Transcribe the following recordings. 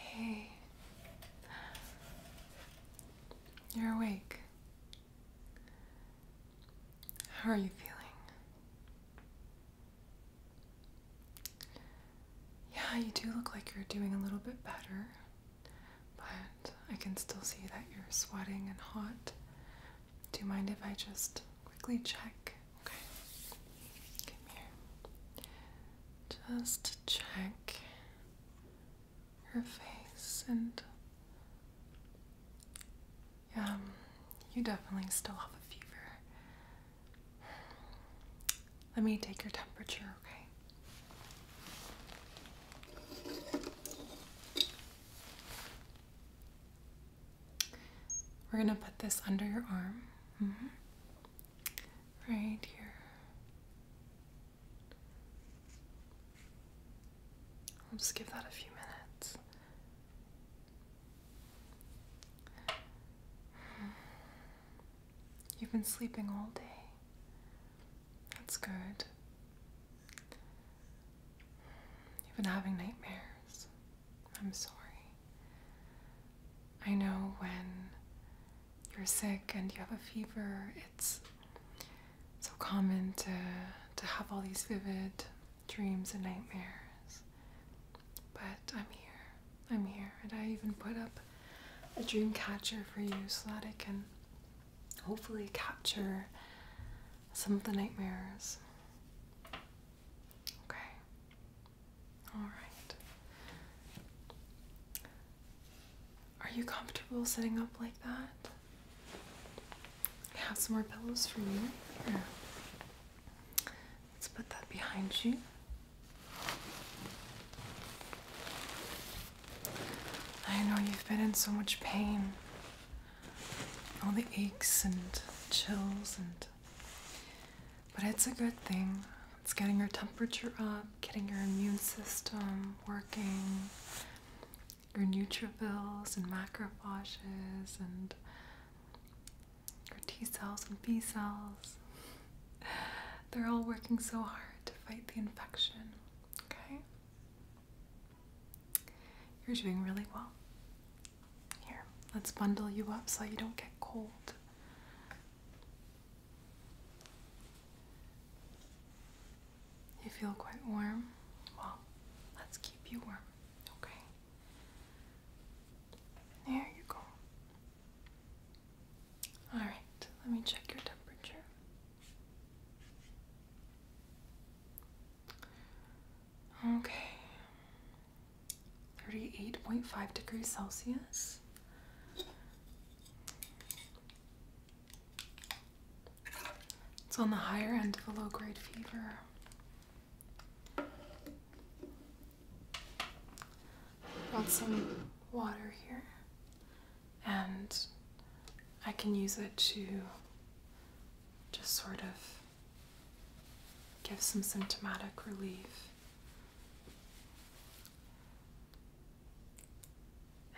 Hey, you're awake. How are you feeling? Yeah, you do look like you're doing a little bit better but I can still see that you're sweating and hot. Do you mind if I just quickly check? Okay. Come here. Just check your face and yeah, um, you definitely still have a fever. Let me take your temperature, okay? We're going to put this under your arm. Mm-hmm. Right here. I'll just give that a few minutes. Mm-hmm. You've been sleeping all day. That's good. You've been having nightmares. I'm sorry. I know when you're sick and you have a fever, it's so common to, to have all these vivid dreams and nightmares. But I'm here. I'm here. And I even put up a dream catcher for you so that I can hopefully capture some of the nightmares. Okay. Alright. Are you comfortable sitting up like that? I have some more pillows for you. Let's put that behind you. I know you've been in so much pain. All the aches and chills and but it's a good thing. It's getting your temperature up, getting your immune system working, your neutrophils and macrophages and your T cells and B cells. They're all working so hard to fight the infection, okay? You're doing really well. Here, let's bundle you up so you don't get cold. You feel quite warm? Well, let's keep you warm, okay? There you go. All right, let me check your temperature. Okay. 38.5 degrees Celsius. It's on the higher end of a low grade fever. Brought some water here, and I can use it to just sort of give some symptomatic relief.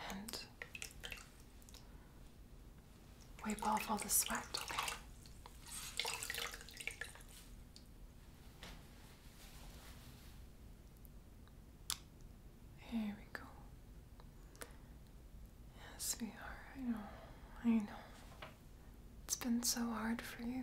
And wipe off all the sweat, okay? There we go. Yes, we are. I know. I know. It's been so hard for you.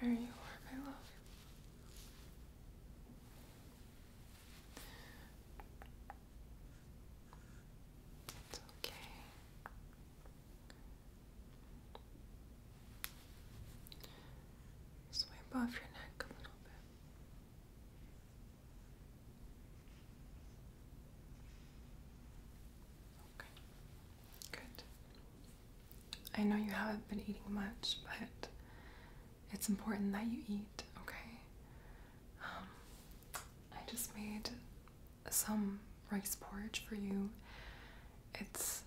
Here you are, my love. It's okay. Just off your neck a little bit. Okay. Good. I know you haven't been eating much, but it's important that you eat, okay? Um, I just made some rice porridge for you. It's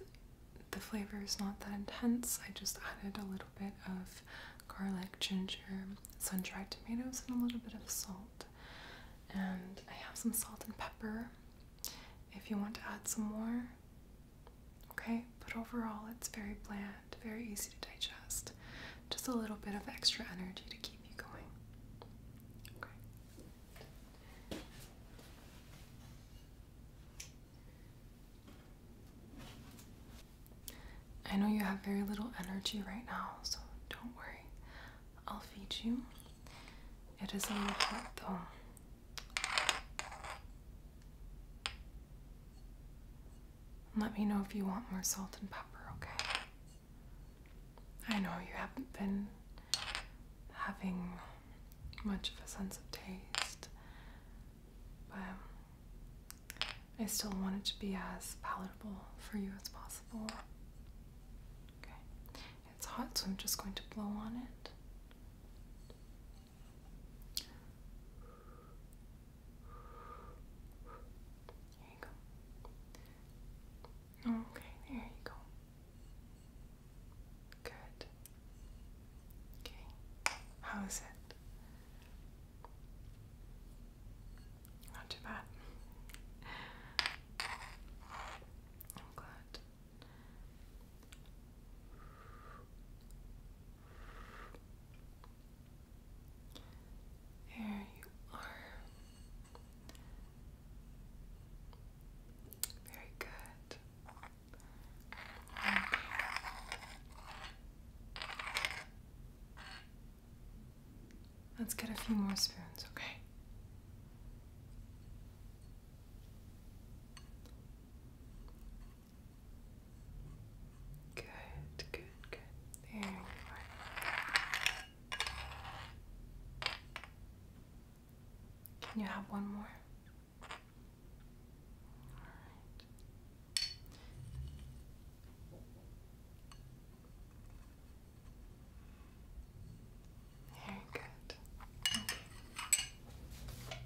the flavor is not that intense. I just added a little bit of garlic, ginger, sun dried tomatoes, and a little bit of salt. And I have some salt and pepper if you want to add some more. Okay, but overall, it's very bland, very easy to digest. Just a little bit of extra energy to keep you going. Okay. I know you have very little energy right now, so don't worry. I'll feed you. It is a little hot though, let me know if you want more salt and pepper, okay? I know you haven't been having much of a sense of taste, but I still want it to be as palatable for you as possible. Okay. It's hot, so I'm just going to blow on it. Okay, there you go. Good. Okay, how is it? Not too bad. I'm glad. There you are. Very good. Let's get a few more spoons, okay? Good, good, good. There you are. Can you have one more? All right. Very good. Okay.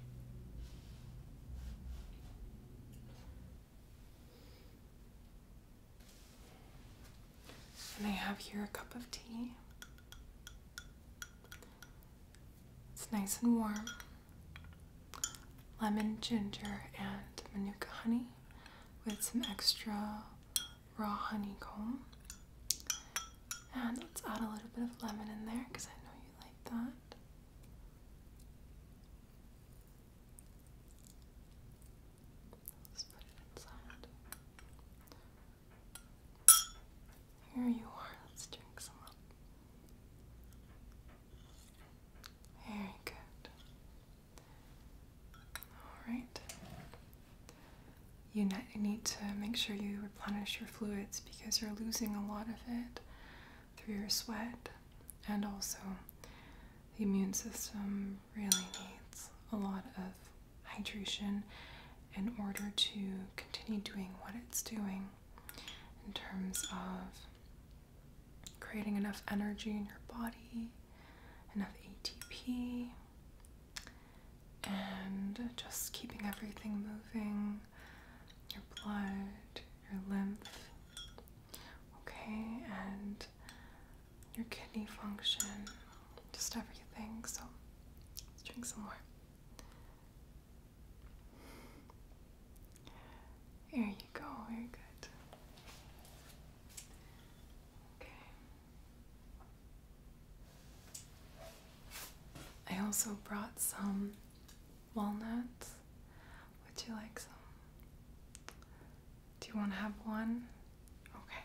And I have here a cup of tea. It's nice and warm. Lemon, ginger, and manuka honey with some extra raw honeycomb. And let's add a little bit of lemon in there because I know you like that. Let's put it inside. Here you are. Let's drink some up. Very good. Alright you need to make sure you replenish your fluids because you're losing a lot of it through your sweat, and also the immune system really needs a lot of hydration in order to continue doing what it's doing in terms of creating enough energy in your body, enough ATP, and just keeping everything moving your blood, your lymph, okay, and your kidney function, just everything. So let's drink some more. There you go, very good. Okay. I also brought some walnuts. Would you like some? Do you want to have one? Okay.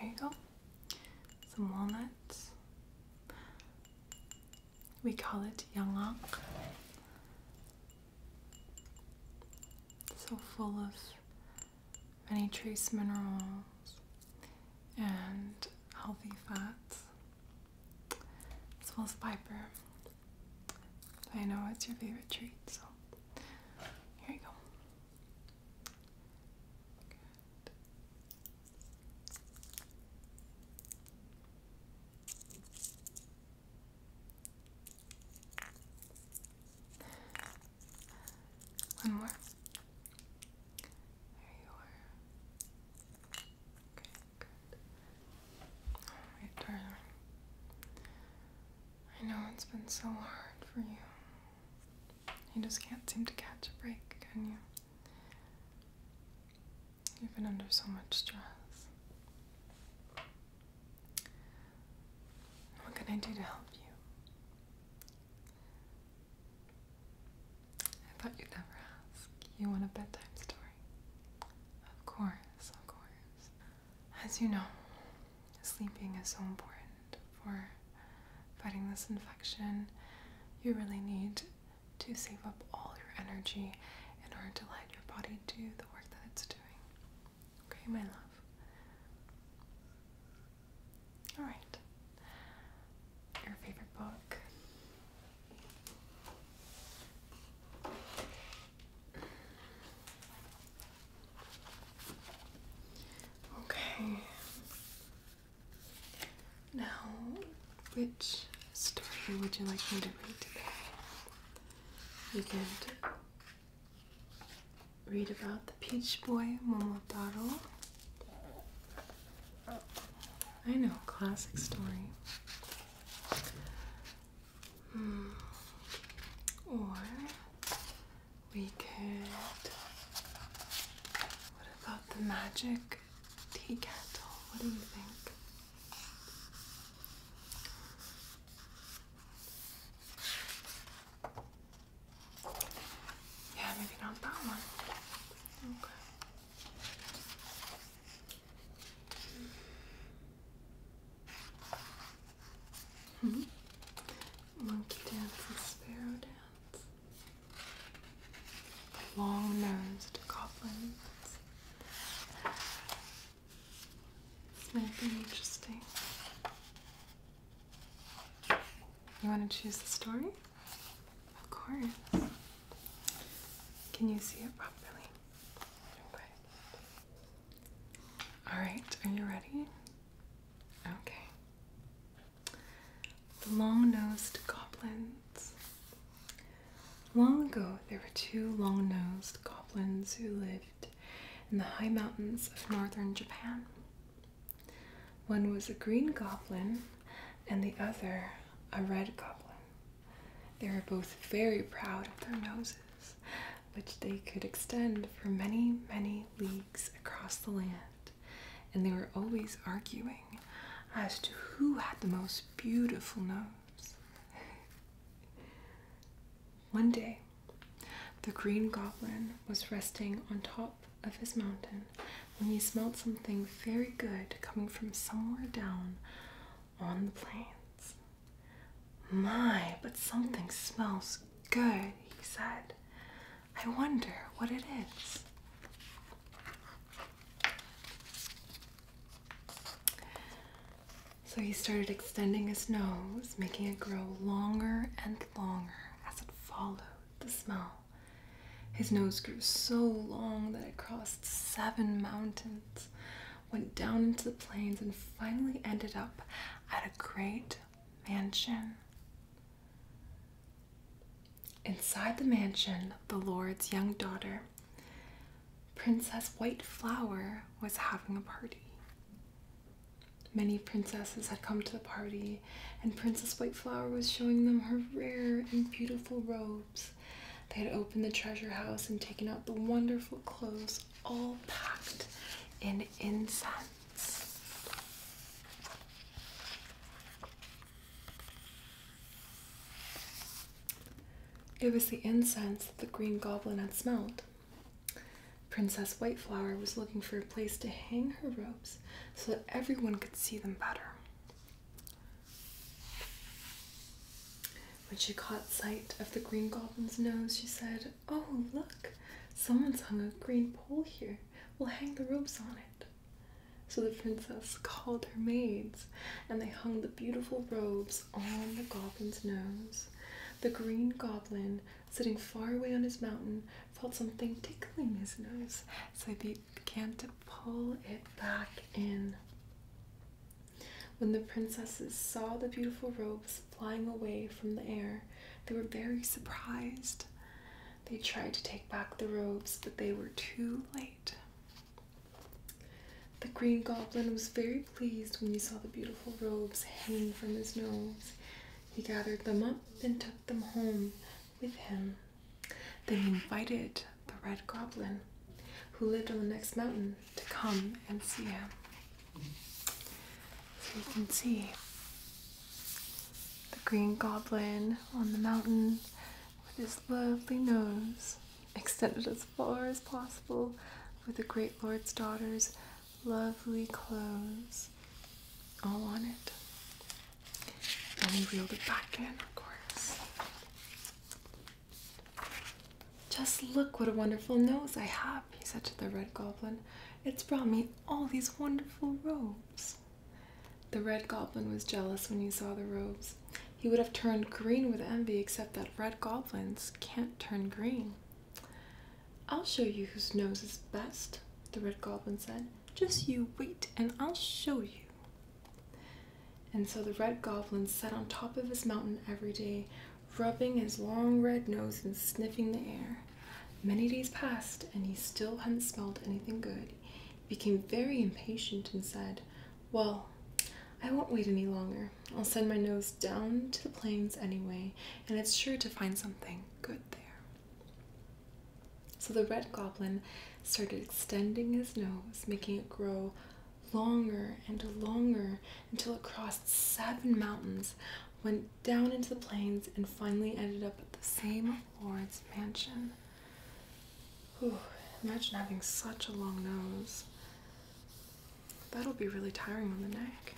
Here you go. Some walnuts. We call it yanglang. So full of many trace minerals and healthy fats as well as Viper. I know it's your favorite treat, so here you go. One more. There you are. Okay. Good. Alright, darling. I know it's been so hard for you. You just can't seem to catch a break, can you? You've been under so much stress. What can I do to help you? I thought you'd never ask. You want a bedtime story? Of course, of course. As you know, sleeping is so important for fighting this infection. You really need to save up all your energy in order to let your body do the work that it's doing. Okay, my love? Alright your favorite book. Okay. Now, which story would you like me to read today? You can read about the Peach Boy Momotaro, I know, classic story. Hmm. Or we could. What about the magic tea kettle? What do you think? Yeah, maybe not that one. Okay. Mm-hmm. Monkey dance and sparrow dance. The long-nosed goblins. This might be interesting. You want to choose the story? Of course. Can you see it properly? Okay. Alright, are you ready? Okay. The long nosed goblins. Long ago, there were two long nosed goblins who lived in the high mountains of northern Japan. One was a green goblin and the other a red goblin. They were both very proud of their noses, which they could extend for many, many leagues across the land, and they were always arguing as to who had the most beautiful nose. One day, the Green Goblin was resting on top of his mountain when he smelled something very good coming from somewhere down on the plains. My, but something smells good, he said. I wonder what it is. So he started extending his nose, making it grow longer and longer as it followed the smell. His nose grew so long that it crossed seven mountains, went down into the plains, and finally ended up at a great mansion. Inside the mansion, the Lord's young daughter, Princess White Flower, was having a party. Many princesses had come to the party, and Princess White Flower was showing them her rare and beautiful robes. They had opened the treasure house and taken out the wonderful clothes, all packed in incense. It was the incense that the Green Goblin had smelled. Princess Whiteflower was looking for a place to hang her robes so that everyone could see them better. When she caught sight of the Green Goblin's nose, she said, Oh, look, someone's hung a green pole here. We'll hang the robes on it. So the princess called her maids, and they hung the beautiful robes on the goblin's nose. The green goblin, sitting far away on his mountain, felt something tickling his nose, so he began to pull it back in. When the princesses saw the beautiful robes flying away from the air, they were very surprised. They tried to take back the robes, but they were too late. The green goblin was very pleased when he saw the beautiful robes hanging from his nose. He gathered them up and took them home with him. They invited the Red Goblin, who lived on the next mountain, to come and see him. So you can see the Green Goblin on the mountain with his lovely nose extended as far as possible with the Great Lord's daughter's lovely clothes all on it and he reeled it back in, of course. Just look what a wonderful nose I have, he said to the red goblin. It's brought me all these wonderful robes. The red goblin was jealous when he saw the robes. He would have turned green with envy, except that red goblins can't turn green. I'll show you whose nose is best, the red goblin said. Just you wait and I'll show you. And so the red goblin sat on top of his mountain every day, rubbing his long red nose and sniffing the air. Many days passed, and he still hadn't smelled anything good. He became very impatient and said, Well, I won't wait any longer. I'll send my nose down to the plains anyway, and it's sure to find something good there. So the red goblin started extending his nose, making it grow longer and longer until it crossed seven mountains, went down into the plains, and finally ended up at the same lord's mansion. Whew, imagine having such a long nose. That'll be really tiring on the neck.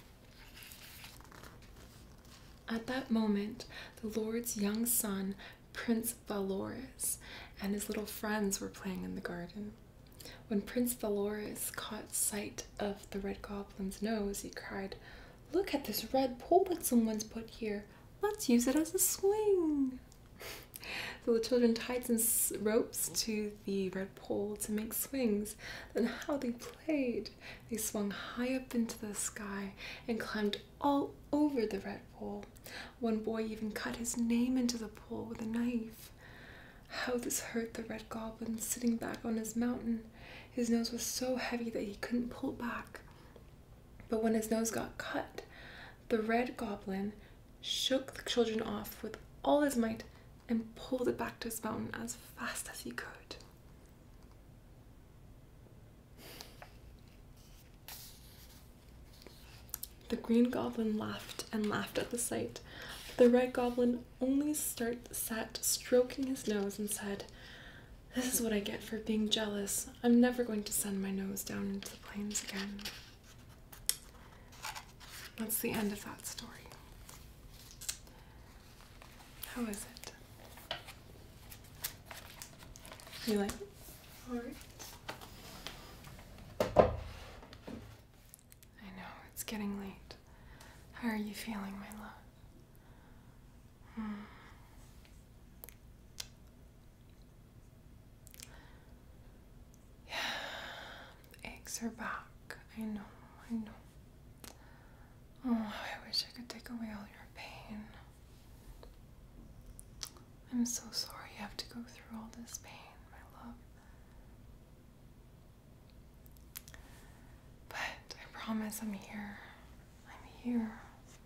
At that moment, the Lord's young son Prince Valores and his little friends were playing in the garden. When Prince Valores caught sight of the red goblin's nose, he cried, Look at this red pole that someone's put here. Let's use it as a swing. so the children tied some ropes to the red pole to make swings. Then how they played! They swung high up into the sky and climbed all over the red pool. One boy even cut his name into the pool with a knife. How this hurt the red goblin sitting back on his mountain. His nose was so heavy that he couldn't pull back. But when his nose got cut, the red goblin shook the children off with all his might and pulled it back to his mountain as fast as he could. The green goblin laughed and laughed at the sight. The red goblin only start, sat stroking his nose and said, This is what I get for being jealous. I'm never going to send my nose down into the plains again. That's the end of that story. How is it? You like Alright. I know, it's getting late. How are you feeling, my love? Hmm. Yeah, eggs are back. I know, I know. Oh, I wish I could take away all your pain. I'm so sorry you have to go through all this pain, my love. But I promise I'm here. I'm here.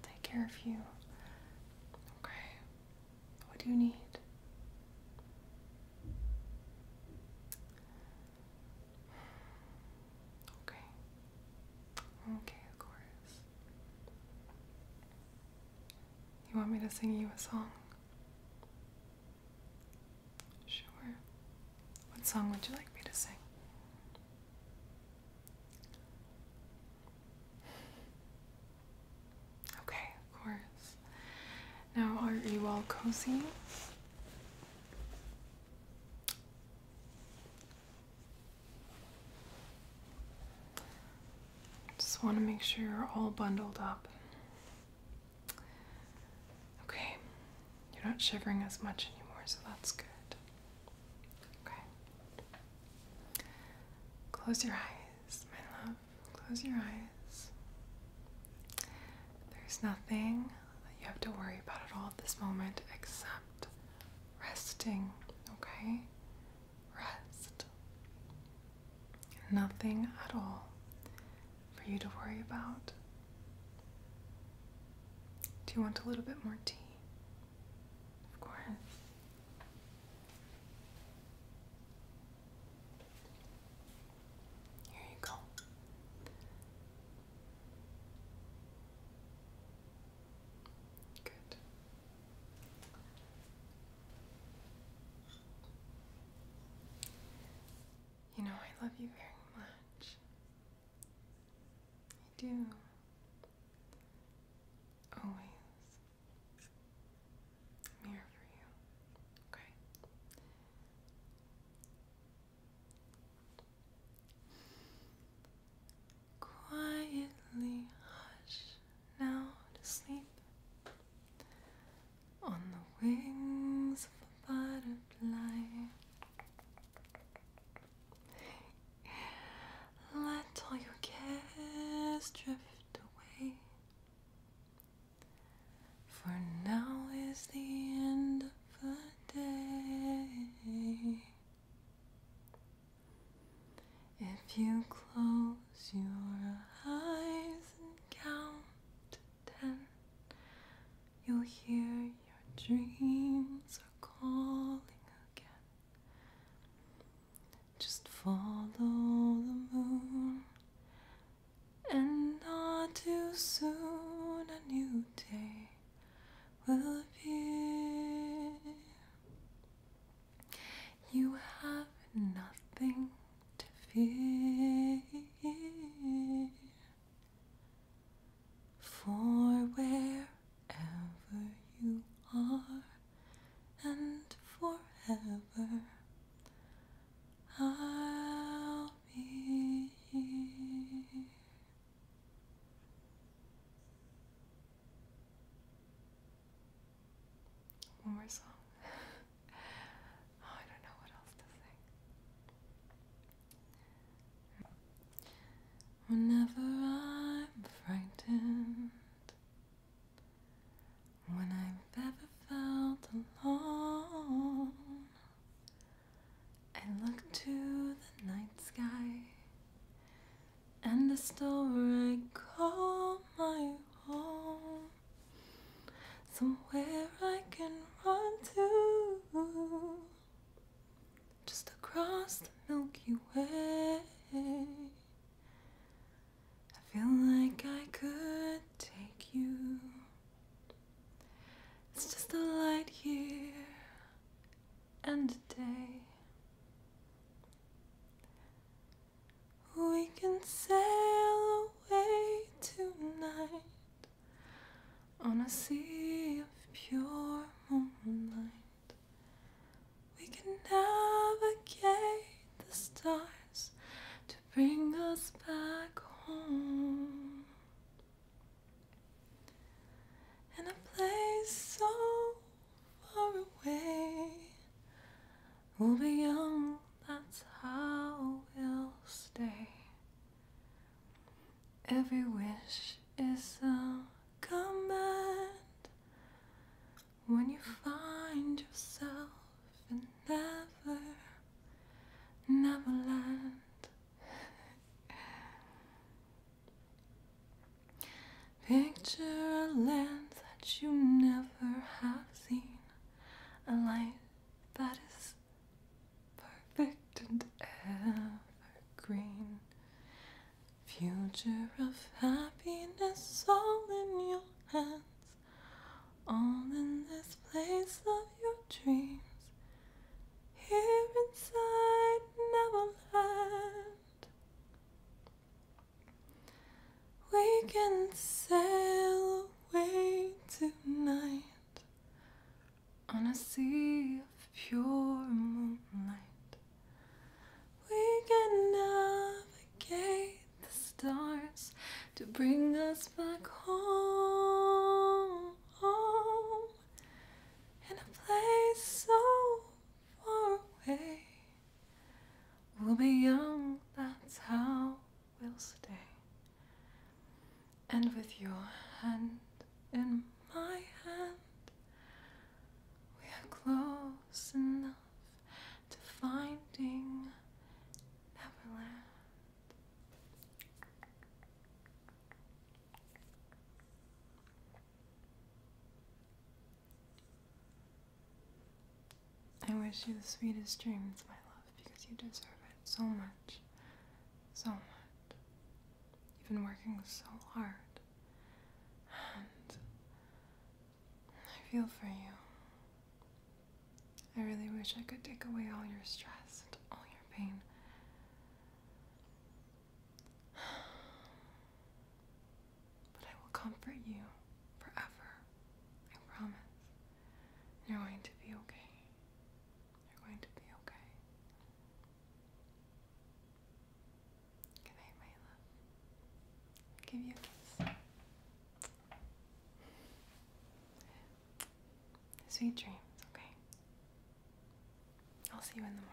take care of you. Okay? What do you need? Okay. Okay, of course. You want me to sing you a song? Sure. What song would you like me to sing? Okay, of course. Now, are you all cozy? Just want to make sure you're all bundled up. Okay, you're not shivering as much anymore, so that's good. Okay. Close your eyes, my love. Close your eyes. There's nothing that you have to worry about at all at this moment except resting, okay? rest. Nothing at all for you to worry about. Do you want a little bit more tea? Of course. Here you go. You know, I love you very much. I do. Always. I'm here for you. Okay? Quietly hush now to sleep on the wings of a butterfly. Let all your cares drift away. For now is the end of the day. If you close your eyes and count to ten, you'll hear your dreams are calling again. Just follow the moon, and not too soon a new day will appear. You have nothing to fear. For wherever you are and forever, I'll be here. One more song. Oh, I don't know what else to sing. Whenever I'm frightened, when I've ever felt alone, I look to the night sky and the store I call my home. Somewhere I can run to, just across the Milky Way. I feel like I could take you. It's just a light year and a day. We can sail away tonight on a sea of pure moonlight. We can navigate the stars to bring us back home. In a place so far away. We'll be young, that's how we'll stay. Every wish is a command. When you find yourself in never, never land, Picture a land that you never have seen, a life that is perfect and evergreen. Future of happiness, all in your hands, all in this place of your dreams. Here inside Neverland. We can sail away tonight on a sea of pure moonlight. We can navigate the stars to bring us back home in a place so far away. We'll be young, that's how we'll stay. And with your hand in my hand, we are close enough to finding Neverland. I wish you the sweetest dreams, my love, because you deserve it so much. So much. You've been working so hard. And I feel for you. I really wish I could take away all your stress and all your pain. But I will comfort you forever. I promise. You're going to be okay. You're going to be okay. Good my love. give you a kiss. Sweet dreams, okay? I'll see you in the morning.